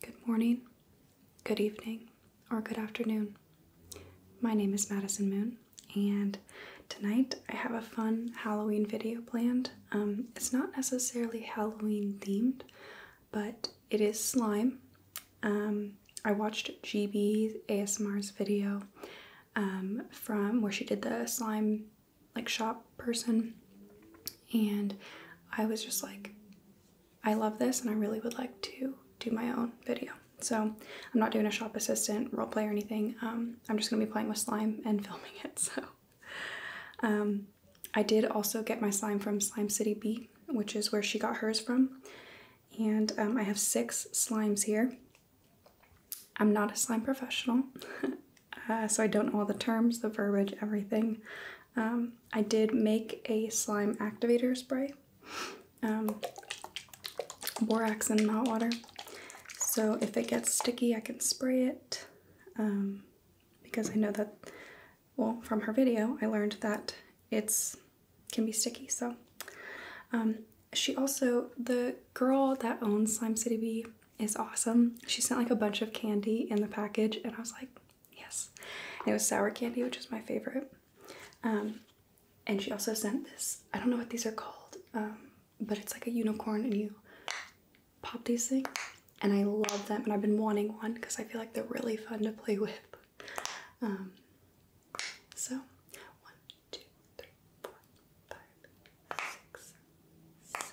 Good morning, good evening, or good afternoon. My name is Madison Moon, and tonight I have a fun Halloween video planned. Um, it's not necessarily Halloween themed, but it is slime. Um, I watched GB ASMR's video um, from where she did the slime like shop person and I was just like I love this and I really would like to do my own video. So I'm not doing a shop assistant role play or anything. Um, I'm just gonna be playing with slime and filming it. So um, I did also get my slime from Slime City B, which is where she got hers from. And um, I have six slimes here. I'm not a slime professional. Uh, so I don't know all the terms, the verbiage, everything. Um, I did make a slime activator spray, um, borax and hot water. So if it gets sticky, I can spray it um, because I know that, well, from her video, I learned that it's can be sticky. So she also, the girl that owns Slime City Bee, is awesome. She sent like a bunch of candy in the package, and I was like, yes. it was sour candy, which is my favorite. Um, and she also sent this. I don't know what these are called, um, but it's like a unicorn, and you pop these things. And I love them, and I've been wanting one because I feel like they're really fun to play with. Um, so, one, two, three, four, five, six, seven,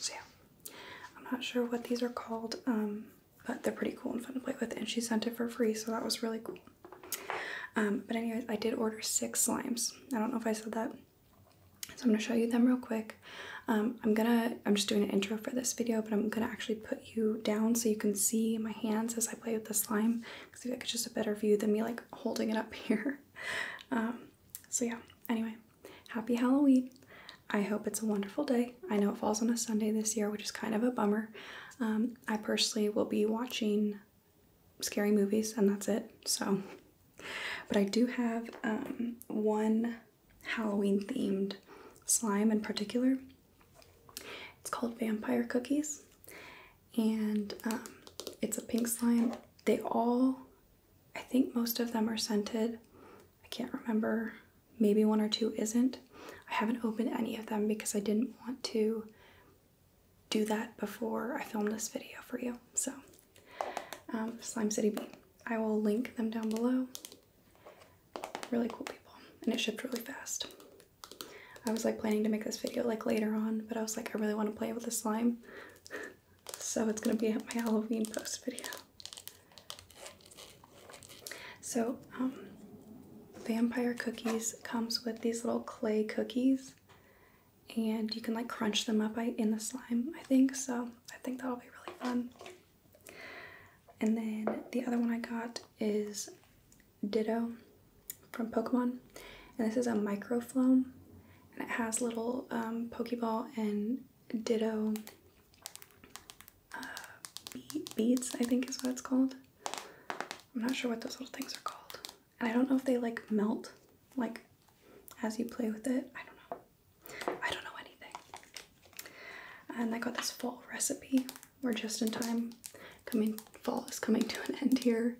So yeah, I'm not sure what these are called, um, but they're pretty cool and fun to play with. And she sent it for free, so that was really cool. Um, but anyways, I did order six slimes. I don't know if I said that. So I'm gonna show you them real quick. Um, I'm gonna, I'm just doing an intro for this video, but I'm gonna actually put you down so you can see my hands as I play with the slime. Cause I feel it's just a better view than me like holding it up here. so yeah, anyway, happy Halloween. I hope it's a wonderful day. I know it falls on a Sunday this year, which is kind of a bummer. Um, I personally will be watching scary movies, and that's it. So, but I do have um, one Halloween themed slime in particular. It's called Vampire Cookies, and um, it's a pink slime. They all I think most of them are scented. I can't remember. Maybe one or two isn't. I haven't opened any of them because I didn't want to do that before I filmed this video for you. So, um, Slime City Bee. I will link them down below. Really cool people. And it shipped really fast. I was like planning to make this video like later on, but I was like, I really want to play with the slime. so it's gonna be my Halloween post video. So, um, vampire cookies comes with these little clay cookies, and you can like crunch them up in the slime, I think. So, I think that'll be really fun. And then the other one I got is Ditto from Pokemon, and this is a Micro microfloam, and it has little um, Pokeball and Ditto uh, beads, I think is what it's called. I'm not sure what those little things are called. And I don't know if they like melt, like as you play with it. I don't know. I don't know anything. And I got this fall recipe. We're just in time. Coming fall is coming to an end here.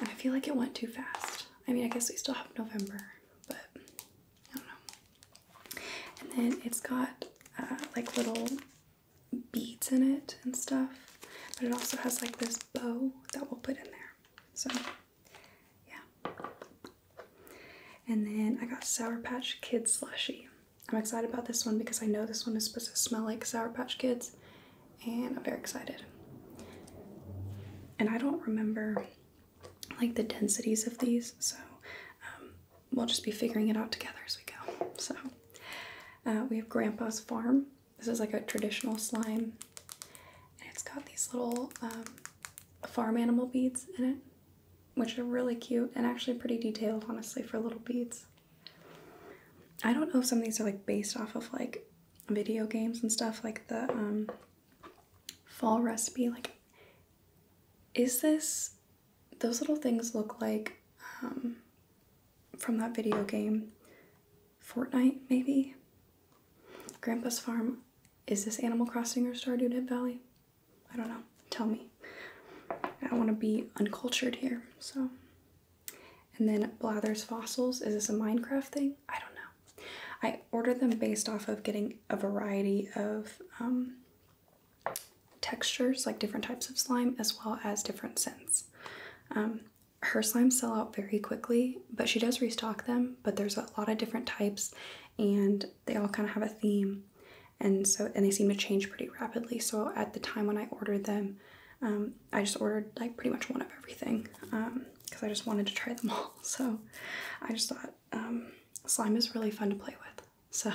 I feel like it went too fast. I mean, I guess we still have November, but I don't know. And then it's got uh, like little beads in it and stuff, but it also has like this bow that we'll put in there. So, yeah. And then I got Sour Patch Kids Slushy. I'm excited about this one because I know this one is supposed to smell like Sour Patch Kids, and I'm very excited and I don't remember like the densities of these, so um, we'll just be figuring it out together as we go. So uh, we have Grandpa's Farm. This is like a traditional slime, and it's got these little um, farm animal beads in it, which are really cute and actually pretty detailed, honestly, for little beads. I don't know if some of these are like based off of like video games and stuff, like the um, fall recipe. Like, is this, those little things look like um, from that video game, Fortnite maybe? Grandpa's Farm. Is this Animal Crossing or Stardew Dead Valley? I don't know. Tell me. I want to be uncultured here, so. And then Blather's Fossils. Is this a Minecraft thing? I don't know. I order them based off of getting a variety of um, textures, like different types of slime, as well as different scents. Um, her slimes sell out very quickly, but she does restock them. But there's a lot of different types, and they all kind of have a theme, and so and they seem to change pretty rapidly. So at the time when I ordered them, um, I just ordered like pretty much one of everything. Um, because I just wanted to try them all. So I just thought um, slime is really fun to play with. So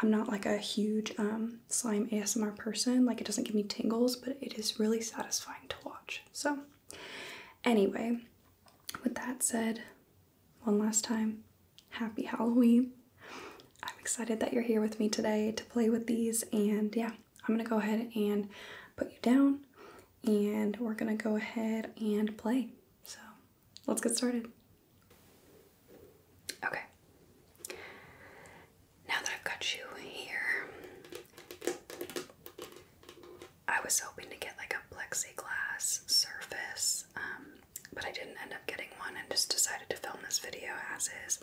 I'm not like a huge um, slime ASMR person. Like it doesn't give me tingles, but it is really satisfying to watch. So anyway, with that said, one last time, happy Halloween. I'm excited that you're here with me today to play with these and yeah, I'm gonna go ahead and put you down and we're gonna go ahead and play. So let's get started. Okay. Now that I've got you here, I was hoping to get like a plexiglass surface, um, but I didn't end up getting one and just decided to film this video as is.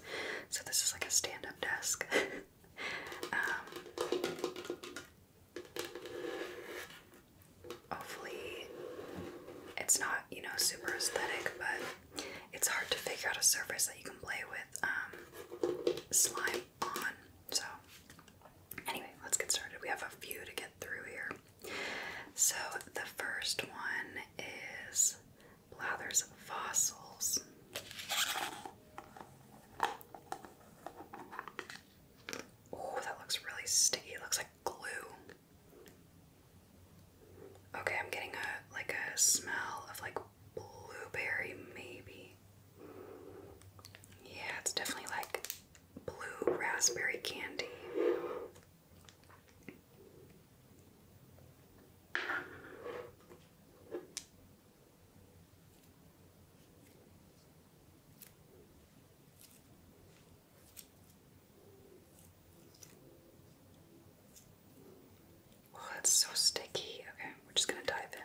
So this is like a stand up desk. Um, Hopefully, it's not, you know, super aesthetic, but it's hard to figure out a surface that you can play with um, slime on. So, anyway, let's get started. We have a few to get through here. So, the first one is Blather's Fossils. Oh, that looks really sticky. It looks like glue. Okay, I'm getting a like a smell of like blueberry maybe. Yeah, it's definitely like blue raspberry candy. Oh, it's so sticky. Okay, we're just going to dive in.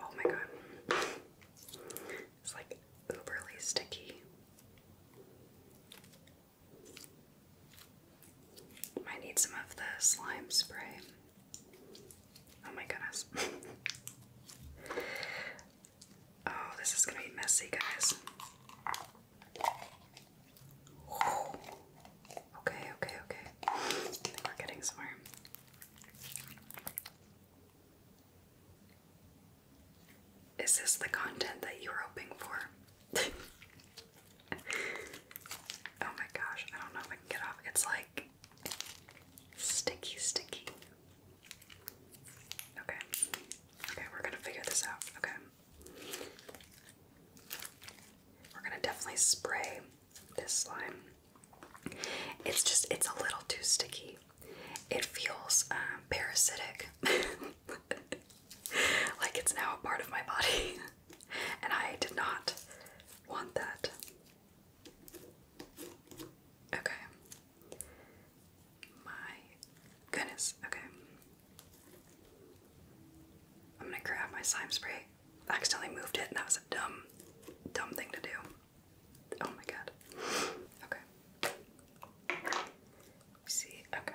Oh my god. It's like uberly sticky. Might need some of the slime spray. Oh my goodness. oh, this is gonna be messy, guys. Okay, okay, okay. I think we're getting somewhere. Is this the content that you were hoping for? oh my gosh, I don't know if I can get off. It's like sticky, sticky. Okay. Okay, we're gonna figure this out. Okay. We're gonna definitely spray this slime. It's just, it's a little too sticky. It feels um, parasitic. like it's now a part of my body. and I did not want that. Okay. My goodness. Okay. I'm gonna grab my slime spray. accidentally moved it, and that was a dumb, dumb thing to do. Oh my god. Okay. See, okay.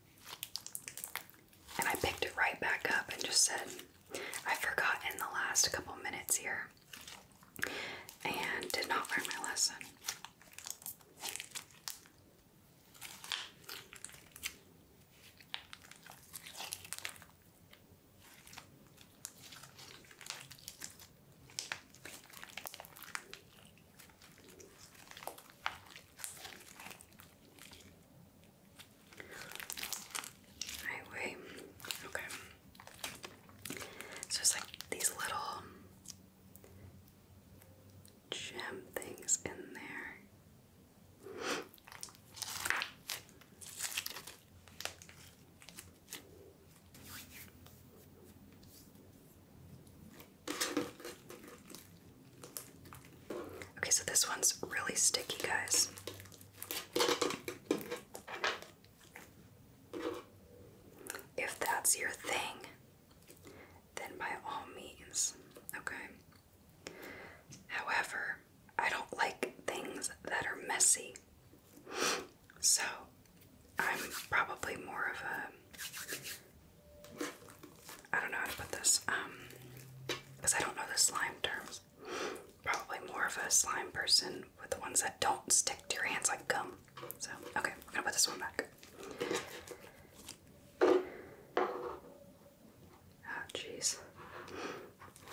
And I picked it right back up and just said, I forgot in the last couple minutes here and did not learn my lesson. Highway. Okay. So it's like these little gem things in there. Okay, so this one's really sticky, guys. If that's your thing, then by all means, okay? However, I don't like things that are messy. So, I'm probably more of a I don't know how to put this, um, because I don't know the slime terms. Probably more of a slime person with the ones that don't stick to your hands like gum. So, okay, we're gonna put this one back. Ah, jeez.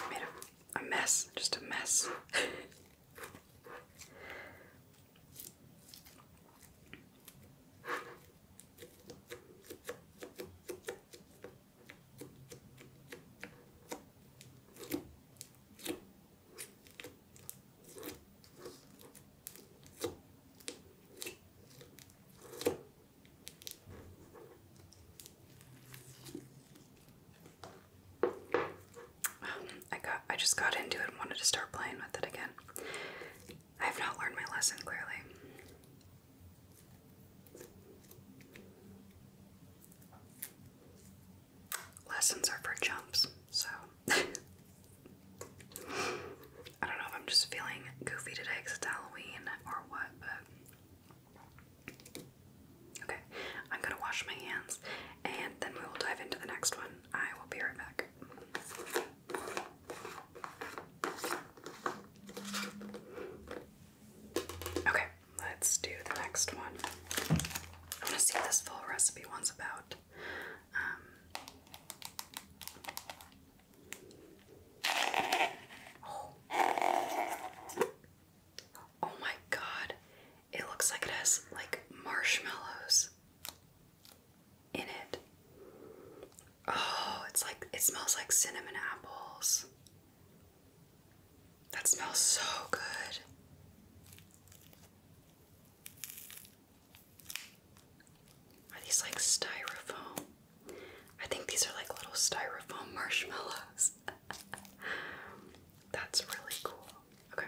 made a mess, just a mess. I got I just got into it and wanted to start playing with it again. I have not learned my lesson clearly. Lessons are for jumps, so I don't know if I'm just feeling goofy today because it's Halloween or what, but okay. I'm gonna wash my hands and then we will dive into the next one. I will be right back. Okay, let's do the next one. I am going to see what this full recipe one's about. Um, oh my god, it looks like it has like marshmallows in it. Oh, it's like it smells like cinnamon apples. That smells so good. Are these like styrofoam? I think these are like little styrofoam marshmallows. That's really cool. Okay.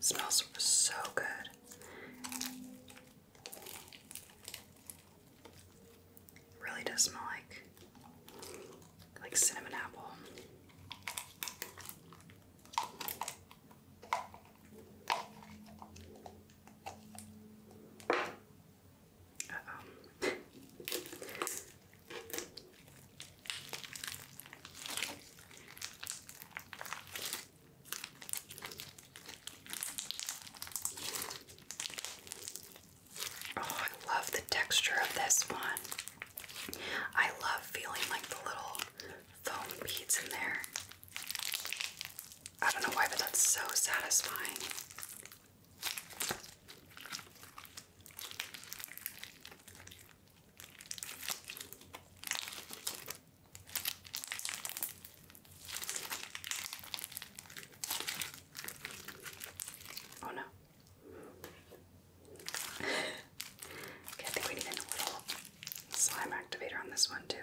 Smells so good. Really does smell like like cinnamon apple. Oh, I love the texture of this one. I love feeling like the little foam beads in there. I don't know why, but that's so satisfying. Oh no. okay, I think we need a little slime activator on this one too.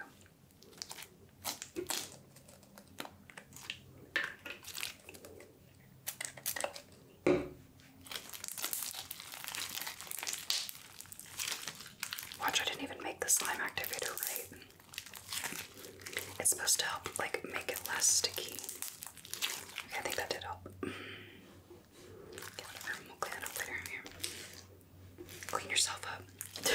Watch, I didn't even make the slime activator right. It's supposed to help, like, make it less sticky. I think that did help. Clean yourself up.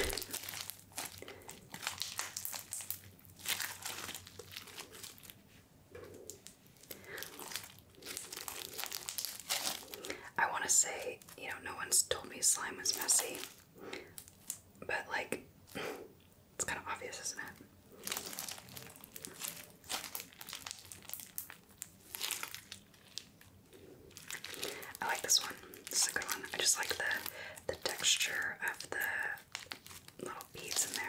I want to say, you know, no one's told me slime was messy, but like, it's kind of obvious, isn't it? I like this one. This a good one. I just like the the texture of the little beads in there.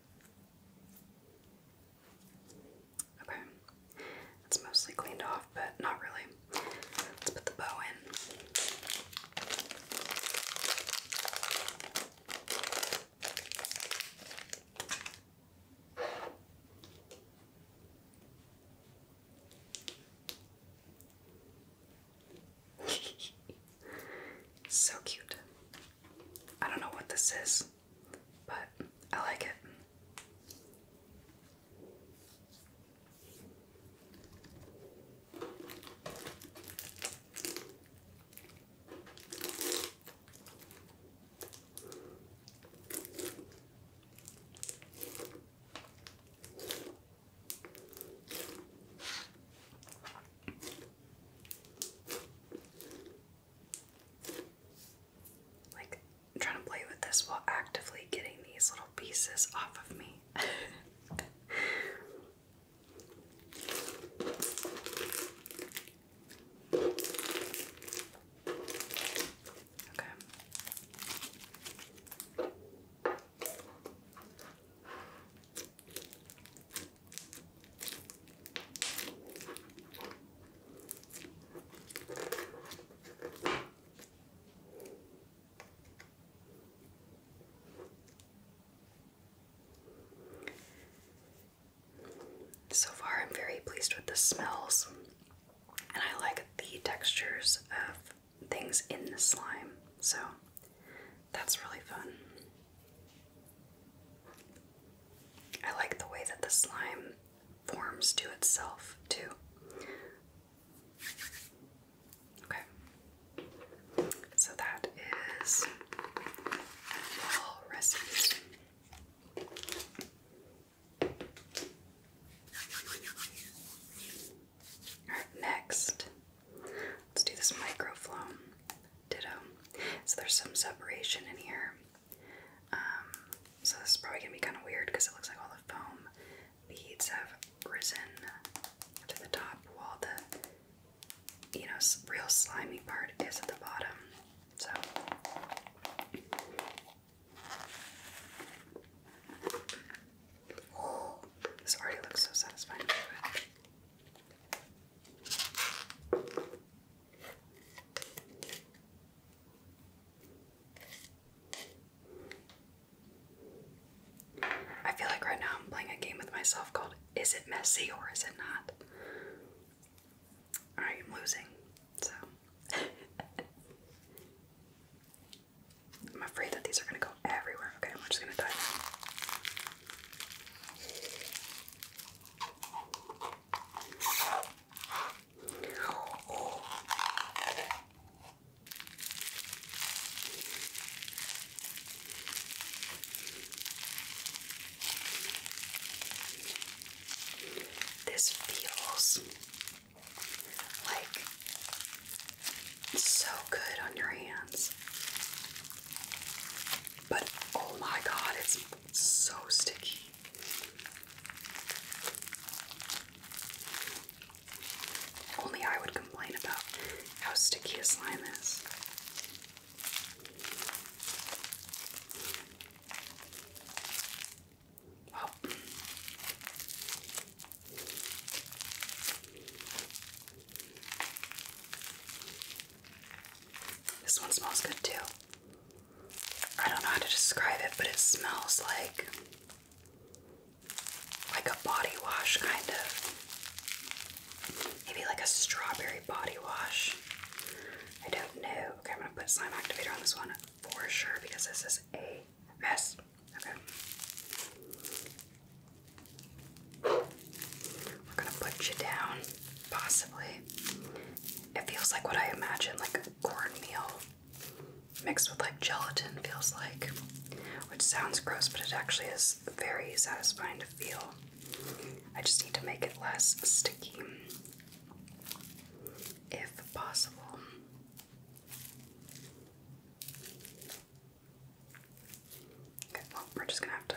Okay, it's mostly cleaned off, but not really. Let's put the bow in. so cute. I don't know what this is but I like it. Like, I'm trying to play with this while actively getting these little pieces off of me. okay. So far, I'm very pleased with the smells, and I like the textures of things in the slime, so that's really fun. I like the way that the slime forms to itself, too. Okay. So that is all recipes. Alright, next, let's do this microflown. Ditto. So there's some separation in here. Um, so this is probably gonna be kind of weird because it looks like all the foam beads have risen to the top, while the you know real slimy part is at the bottom. So. this already looks so satisfying. I feel like right now I'm playing a game with myself called Is It Messy or Is It Not? I am losing, so. I'm afraid that these are gonna go everywhere. Okay, we're just gonna dive in. This feels like so good on your hands. But oh my god, it's it's so sticky. Only I would complain about how sticky a slime is. This one smells good too. I don't know how to describe it, but it smells like like a body wash kind of. Maybe like a strawberry body wash. I don't know. Okay, I'm gonna put slime activator on this one for sure because this is a mess. Okay. We're gonna put you down, possibly. It feels like what I imagine, like cornmeal mixed with like gelatin feels like. Which sounds gross, but it actually is very satisfying to feel. I just need to make it less sticky if possible. Okay, well, we're just gonna have to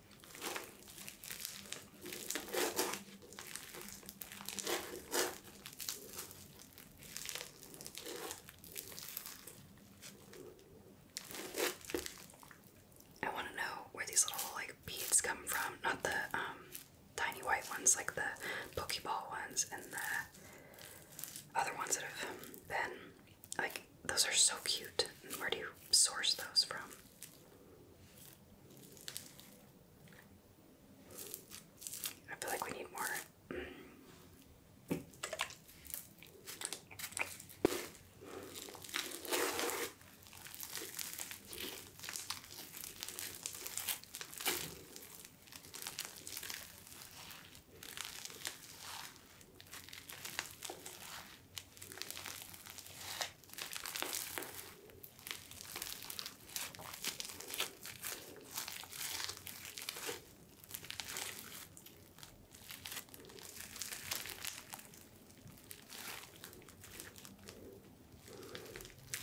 I want to know where these little like beads come from, not the um, tiny white ones like the pokeball ones and the other ones that have been like those are so cute. Where do you source those from? I feel like we need more.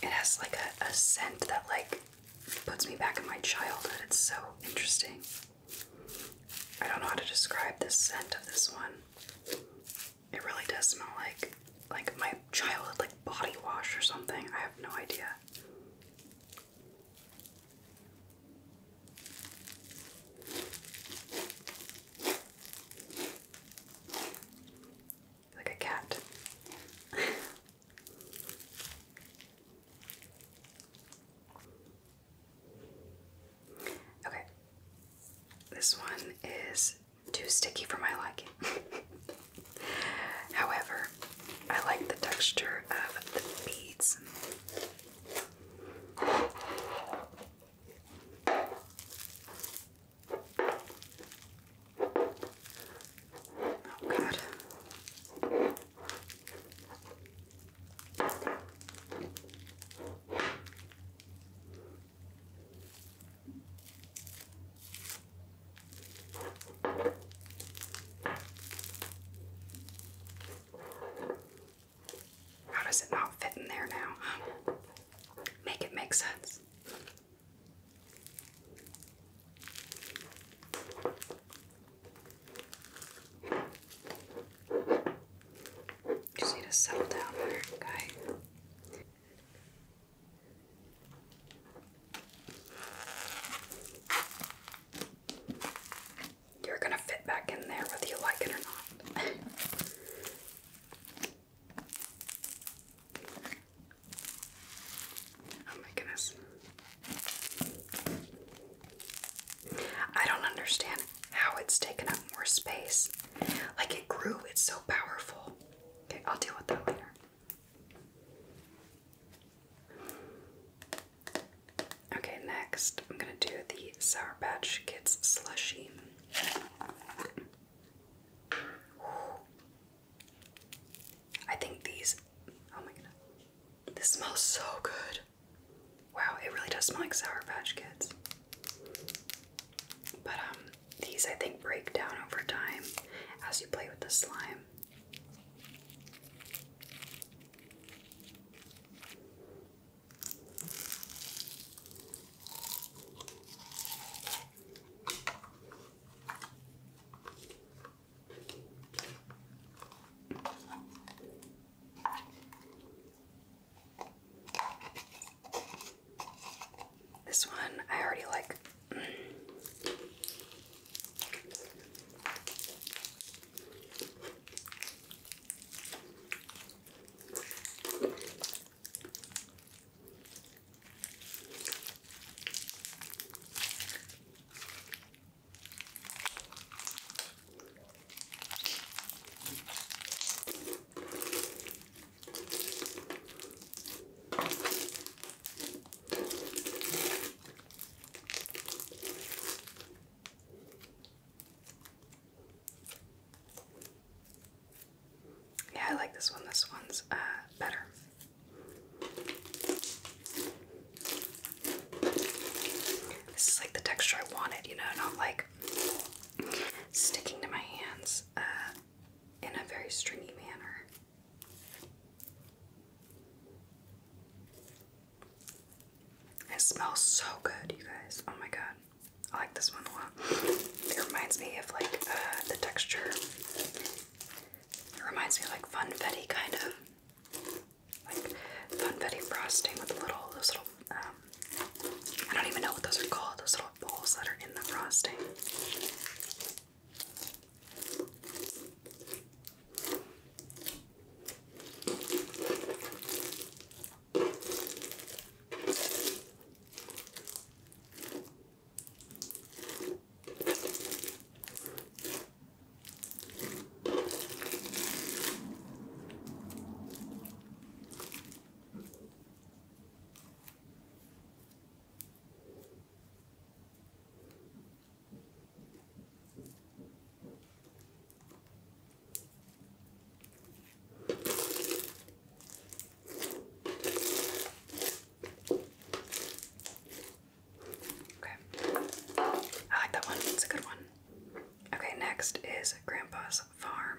It has like a, a scent that like puts me back in my childhood. It's so interesting. I don't know how to describe the scent of this one. It really does smell like like my childhood like body wash or something. I have no idea. Like a cat. Okay. This one is too sticky for my liking. However, I like the texture of the beads. Oh god. How does it not fit in there now? Make it make sense. Just need to settle down there, okay? You're gonna fit back in there whether you like it or not. oh my goodness. I don't understand how it's taken up more space. Like it grew, it's so powerful. Okay, I'll deal with that later. Okay, next I'm gonna do the Sour Patch Kids Slushy. I think these, oh my god, this smells so good. Wow, it really does smell like Sour Patch Kids. But um, these I think break down over time as you play with the slime. This one I already like. Yeah, I like this one. This one's uh, better. This is like the texture I wanted, you know, not like sticking to my hands uh, in a very stringy manner. It smells so good, you guys. Oh my god. I like this one a lot. It reminds me of like uh, the texture. It reminds me of like funfetti kind of. Like funfetti frosting with little little um, I don't even know what those are called, those little balls that are in the frosting. Okay. I like that one. It's a good one. Okay, next is Grandpa's Farm.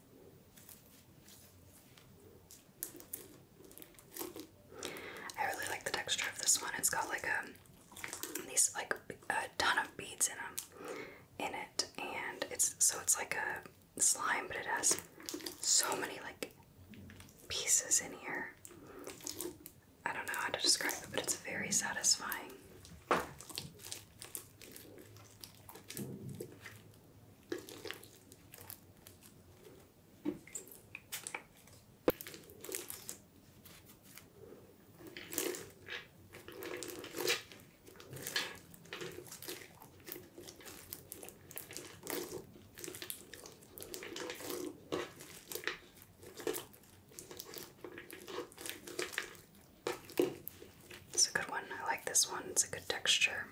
I really like the texture of this one. It's got like a um, these like a ton of beads in them in it, and it's so it's like a slime, but it has so many like pieces in here. I don't know how to describe it, but it's very satisfying. It's a good one. I like this one. It's a good texture.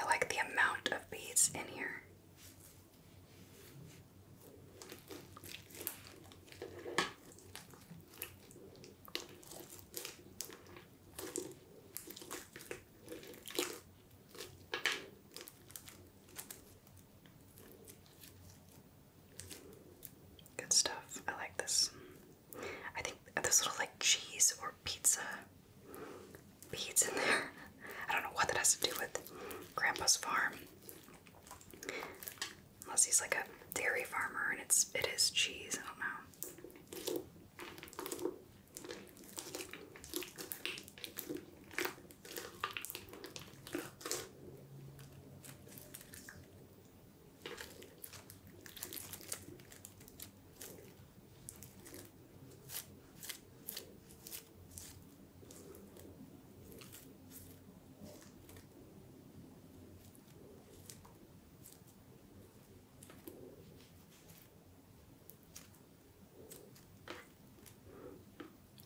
I like the amount of beads in here. Good stuff. I like this. I think there's little like cheese or pizza beads in there. I don't know what that has to do with Grandpa's farm. Unless he's like a dairy farmer and it's it is cheese, I don't know.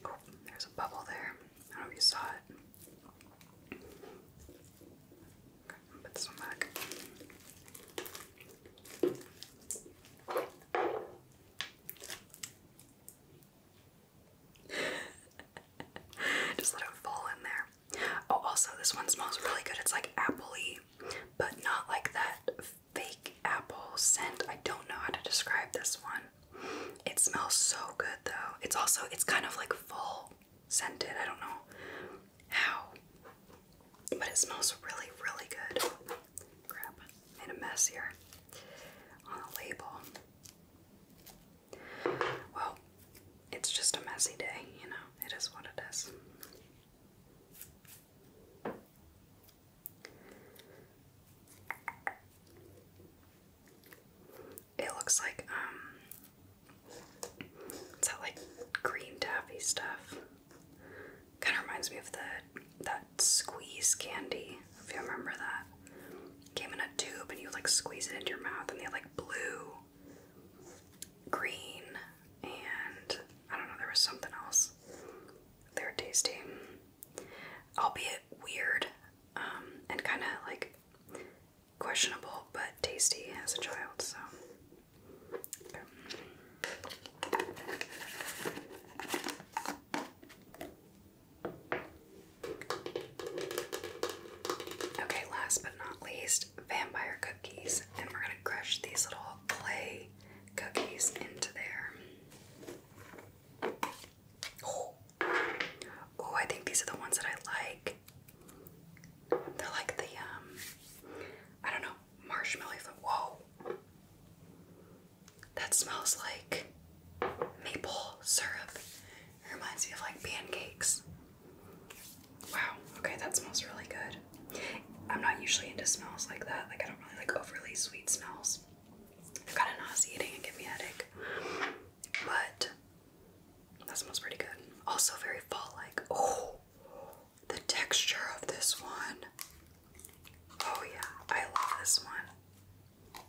Oh, there's a bubble there. I don't know if you saw it. Just let it fall in there. Oh, also, this one smells really good. It's like appley, but not like that fake apple scent. I don't know how to describe this one. It smells so good though. It's also it's kind of like full scented. I don't know how, but it smells really, really good. Crap, made a mess here on the label. Well, it's just a messy day, you know, it is what it is. It looks like um, it's that like green taffy stuff. Kind of reminds me of the that squeeze candy. If you remember that, came in a tube and you like squeeze it into your mouth, and they had like blue, green, and I don't know. There was something else. They were tasty, albeit weird, um, and kind of like questionable but tasty as a child, so. Okay. last but not least, vampire cookies. And we're gonna crush these little clay cookies into there. oh I think these are the ones that I like. They're like the um, I don't know, marshmallow food. Whoa. That smells like maple syrup. It reminds me of like pancakes. Wow, okay, that smells really good. I'm not usually into smells like that. Like I don't really like overly sweet smells. They're kinda nauseating and give me a headache. But that smells pretty good. Also very fall like. Oh the texture of this one. Oh, yeah, I love this one.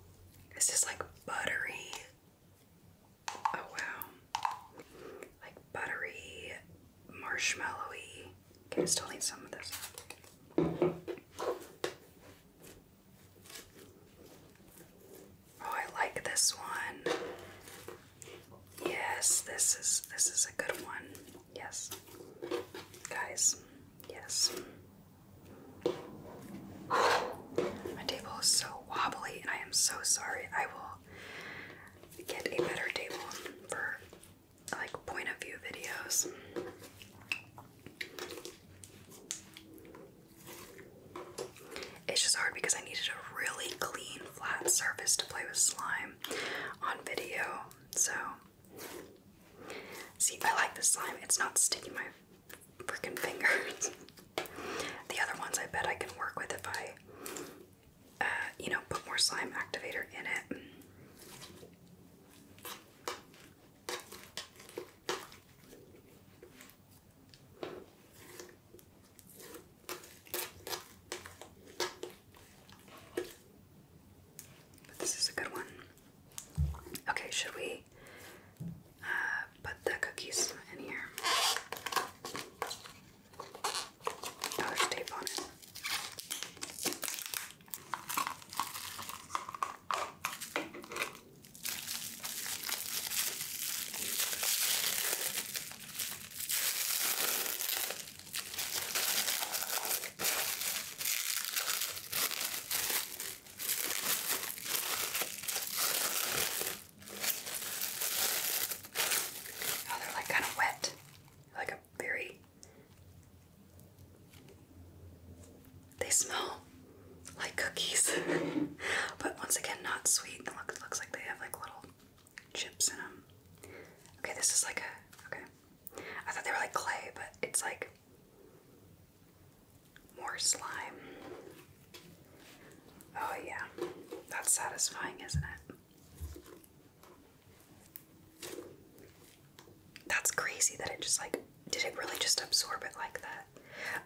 This is like buttery. Oh, wow. Like buttery, marshmallowy. Okay, I still need some of this. Oh, I like this one. Yes, this is this is a good one. Yes. Guys, yes. My table is so wobbly and I am so sorry. I will get a better table for like point of view videos. It's just hard because I needed a really clean, flat surface to play with slime on video. So, see, I like this slime. It's not sticking my freaking fingers. the other ones I bet I can work with if I, uh, you know, put more slime activator in it this is a good one. Okay, should we uh, put the cookies in here? Oh, there's tape Oh, they're like kind of wet, like a very. They smell like cookies, but once again, not sweet. looks, looks like they have like little chips in them. Okay, this is like a okay. I thought they were like clay, but it's like more slime. Oh yeah. That's satisfying, isn't it? That's crazy that it just like did it really just absorb it like that?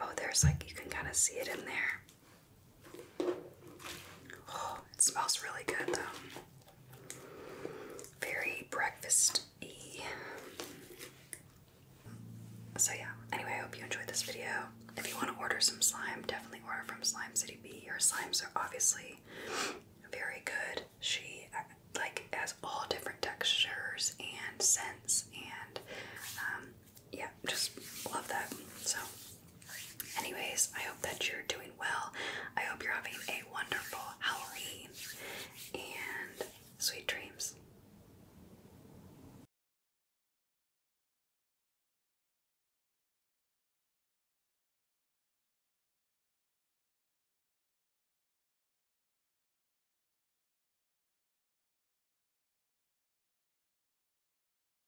Oh, there's like you can kind of see it in there. Oh, it smells really good though. Very breakfast-y. So yeah, anyway, I hope you enjoyed this video. If you want to order some slime, definitely order from Slime City B. Her slimes are obviously very good. She uh, like has all different textures and scents and um, yeah, just love that. So, anyways, I hope that you're doing well. I hope you're having a wonderful Halloween and sweet dreams.